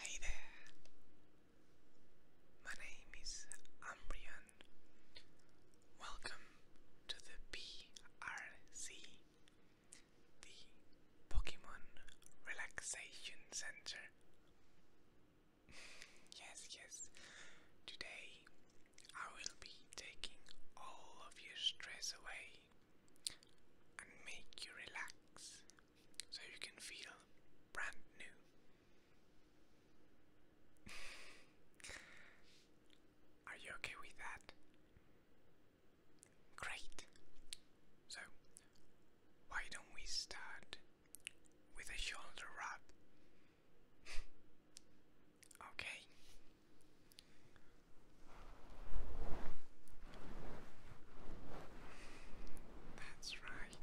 Hey there, my name is Ambrian. Welcome to the PRC the Pokemon Relaxation Center. yes, yes. Today I will be taking all of your stress away and make you relax so you can feel brand new. Are you okay with that? Great. So, why don't we start with a shoulder wrap? okay. That's right.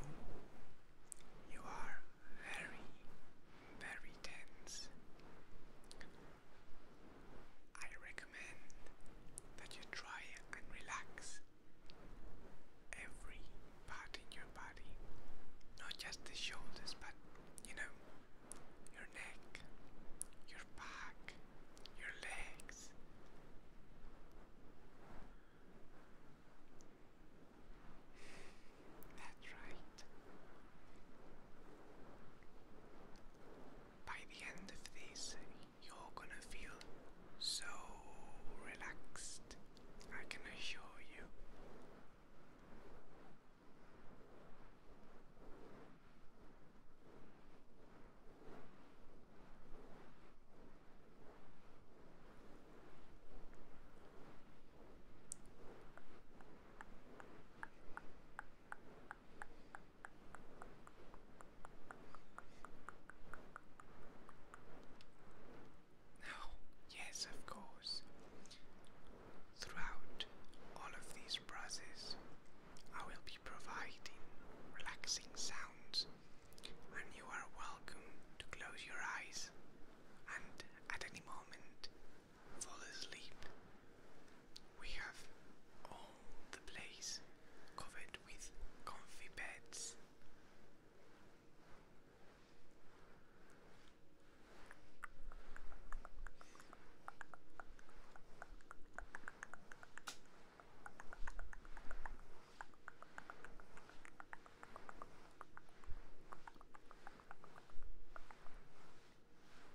Oh, you are very, very tense. I recommend that you try and relax every part in your body, not just the shoulders, but you know, your neck, your back, your legs. That's right. By the end of this, you're gonna feel so relaxed, I can assure you yes, of course, throughout all of these process, I will be providing relaxing sounds, and you are welcome to close your eyes and at any moment fall asleep. We have all the place covered with comfy beds.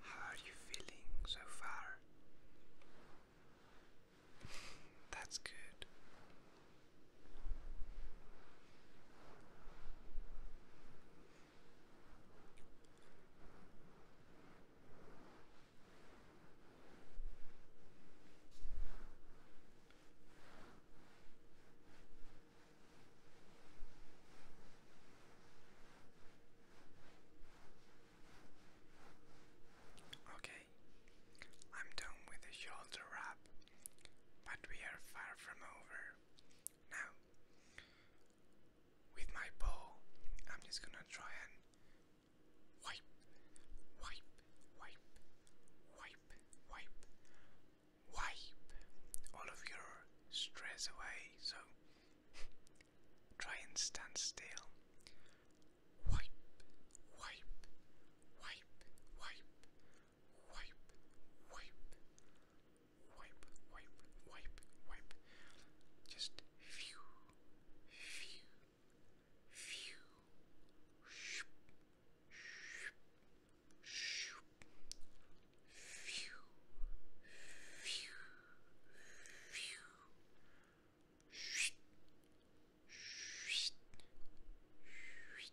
How are you feeling so far? That's good. Okay, I'm done with the shoulder wrap but we are far from over. Now, with my bow, I'm just gonna try and wipe, wipe, wipe, wipe, wipe, wipe all of your stress away. So try and stand still. Wipe, wipe, wipe, wipe, wipe, wipe, wipe, wipe, wipe, wipe. Just few, few, few, shoop, shoop, shoop, few, few, few, shh, shh, shh.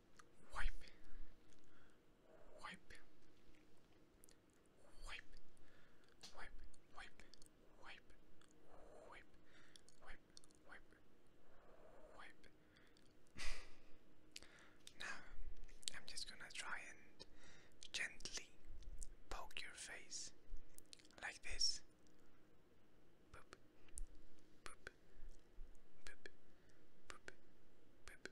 wipe, wipe, wipe, wipe, wipe, wipe, wipe, wipe, wipe, wipe. now I'm just gonna try and gently poke your face like this. Boop, boop, boop, boop, boop,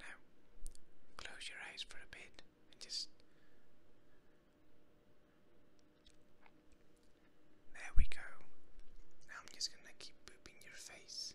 Now, close your eyes for a bit and just. There we go. Now I'm just gonna keep booping your face.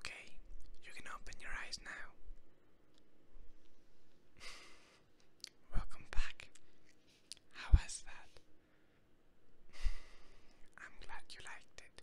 Okay, you can open your eyes now. Welcome back. How was that? I'm glad you liked it.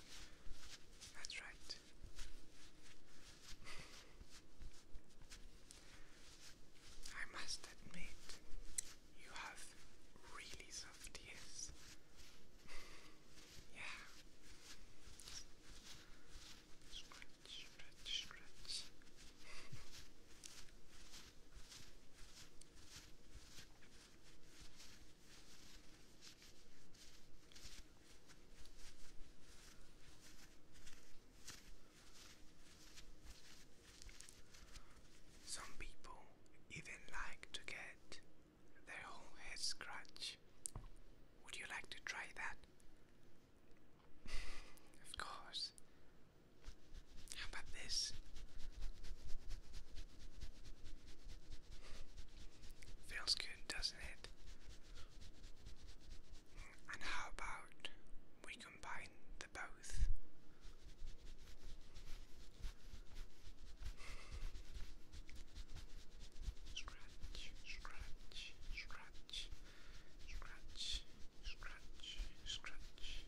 that's right. I must admit, you have really soft ears. yeah. Scratch, scratch, scratch. Some people even like to get their whole head scratched. Would you like to try that? of course. How about this? Feels good, doesn't it? And how about we combine the both? Scratch, scratch, scratch, scratch, scratch, scratch.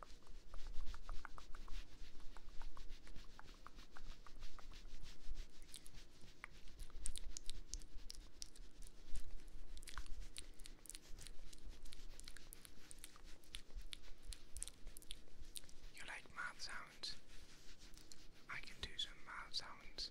You like mouth sounds? I can do some mouth sounds.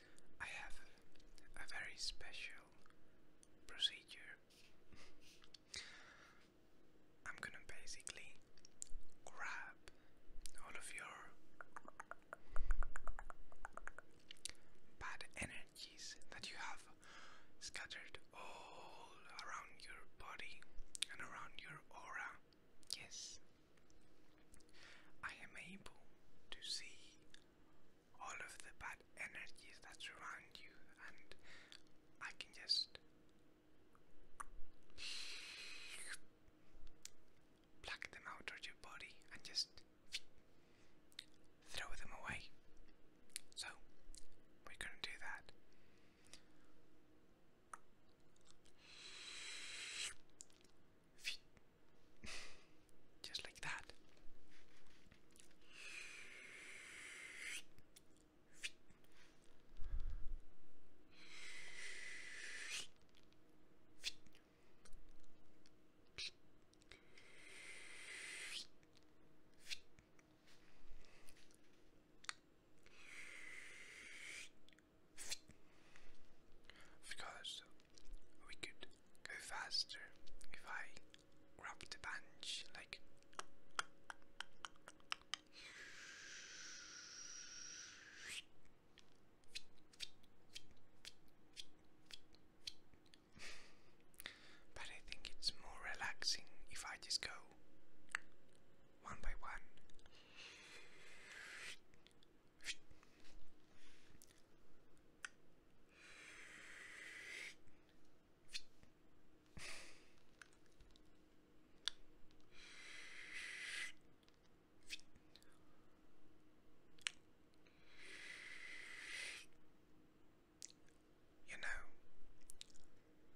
I have a very special procedure. I'm gonna basically grab all of your bad energies that you have scattered all around your body and around your aura. Yes, I am able to see all of the bad energies that surround you, and I can just pluck them out of your body and just throw them away. So, we're going to do that. Just like that. Of we could go faster if I grab the bench like but I think it's more relaxing if I just go one by one. You know,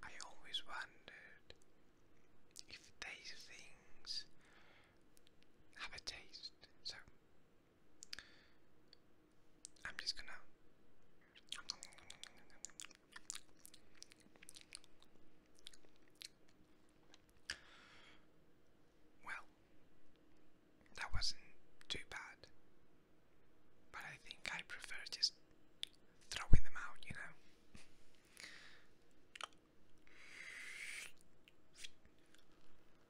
I always wondered if these things have a taste, so I'm just gonna. Well, that wasn't too bad, but I think I prefer just throwing them out, you know.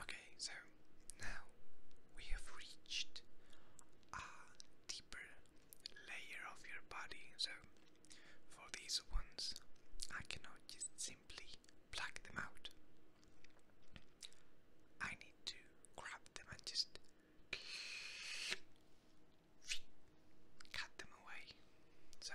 Okay, so now we have reached a deeper layer of your body. So for these ones, I cannot just simply pluck them out. I need to grab them and just cut them away. So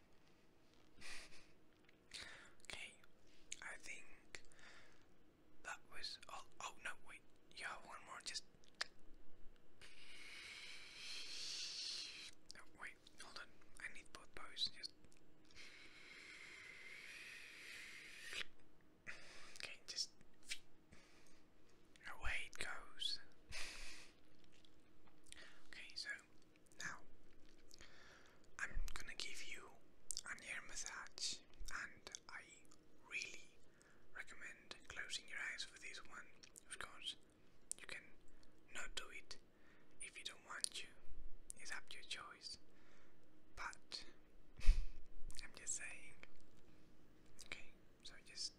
okay, I think that was all. Oh no, wait, you one more. Just no, wait, hold on. I need both bows. Just okay, just away it goes. okay, so now, I'm gonna give you an ear massage, and I really recommend closing your eyes for this one. Of course, you can not do it if you don't want to, it's up to your choice. But, I'm just saying, okay, so just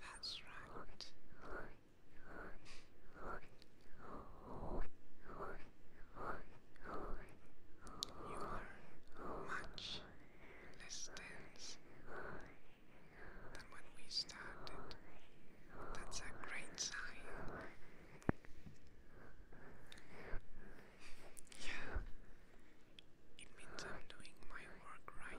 That's right. You are much less dense than when we started. That's a great sign. Yeah, it means I'm doing my work right.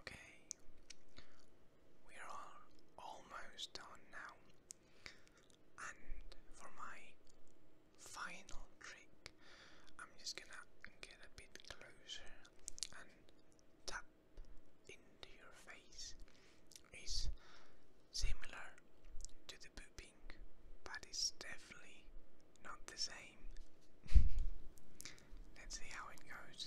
Okay, we are almost done now, and for my final trick, I'm just gonna get a bit closer and tap into your face. It's similar to the pooping, but it's definitely not the same. Let's see how it goes.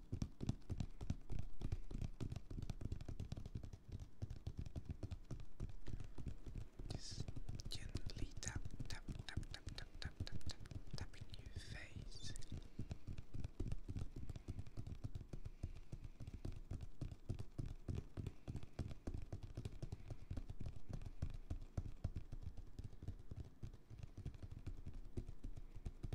Just gently tap, tap, tap, tap, tap, tap, tap, tap, tap in your face.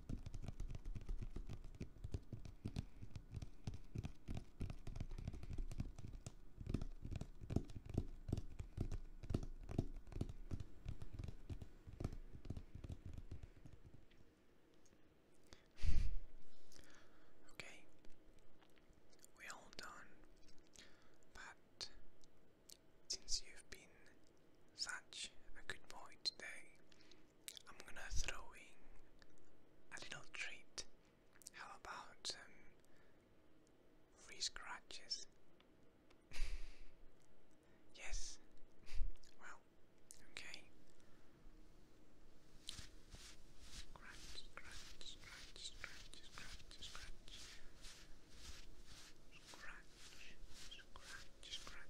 okay, we done, but since you've been such a good boy today, I'm gonna throw in a little treat. How about um, free scratches? yes. well, okay. scratch, scratch, scratch, scratch, scratch. Scratch, scratch, scratch.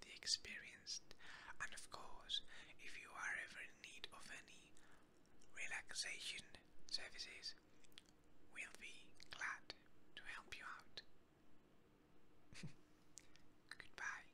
the experienced, and of course, if you are ever in need of any relaxation services, we'll be glad to help you out. Goodbye.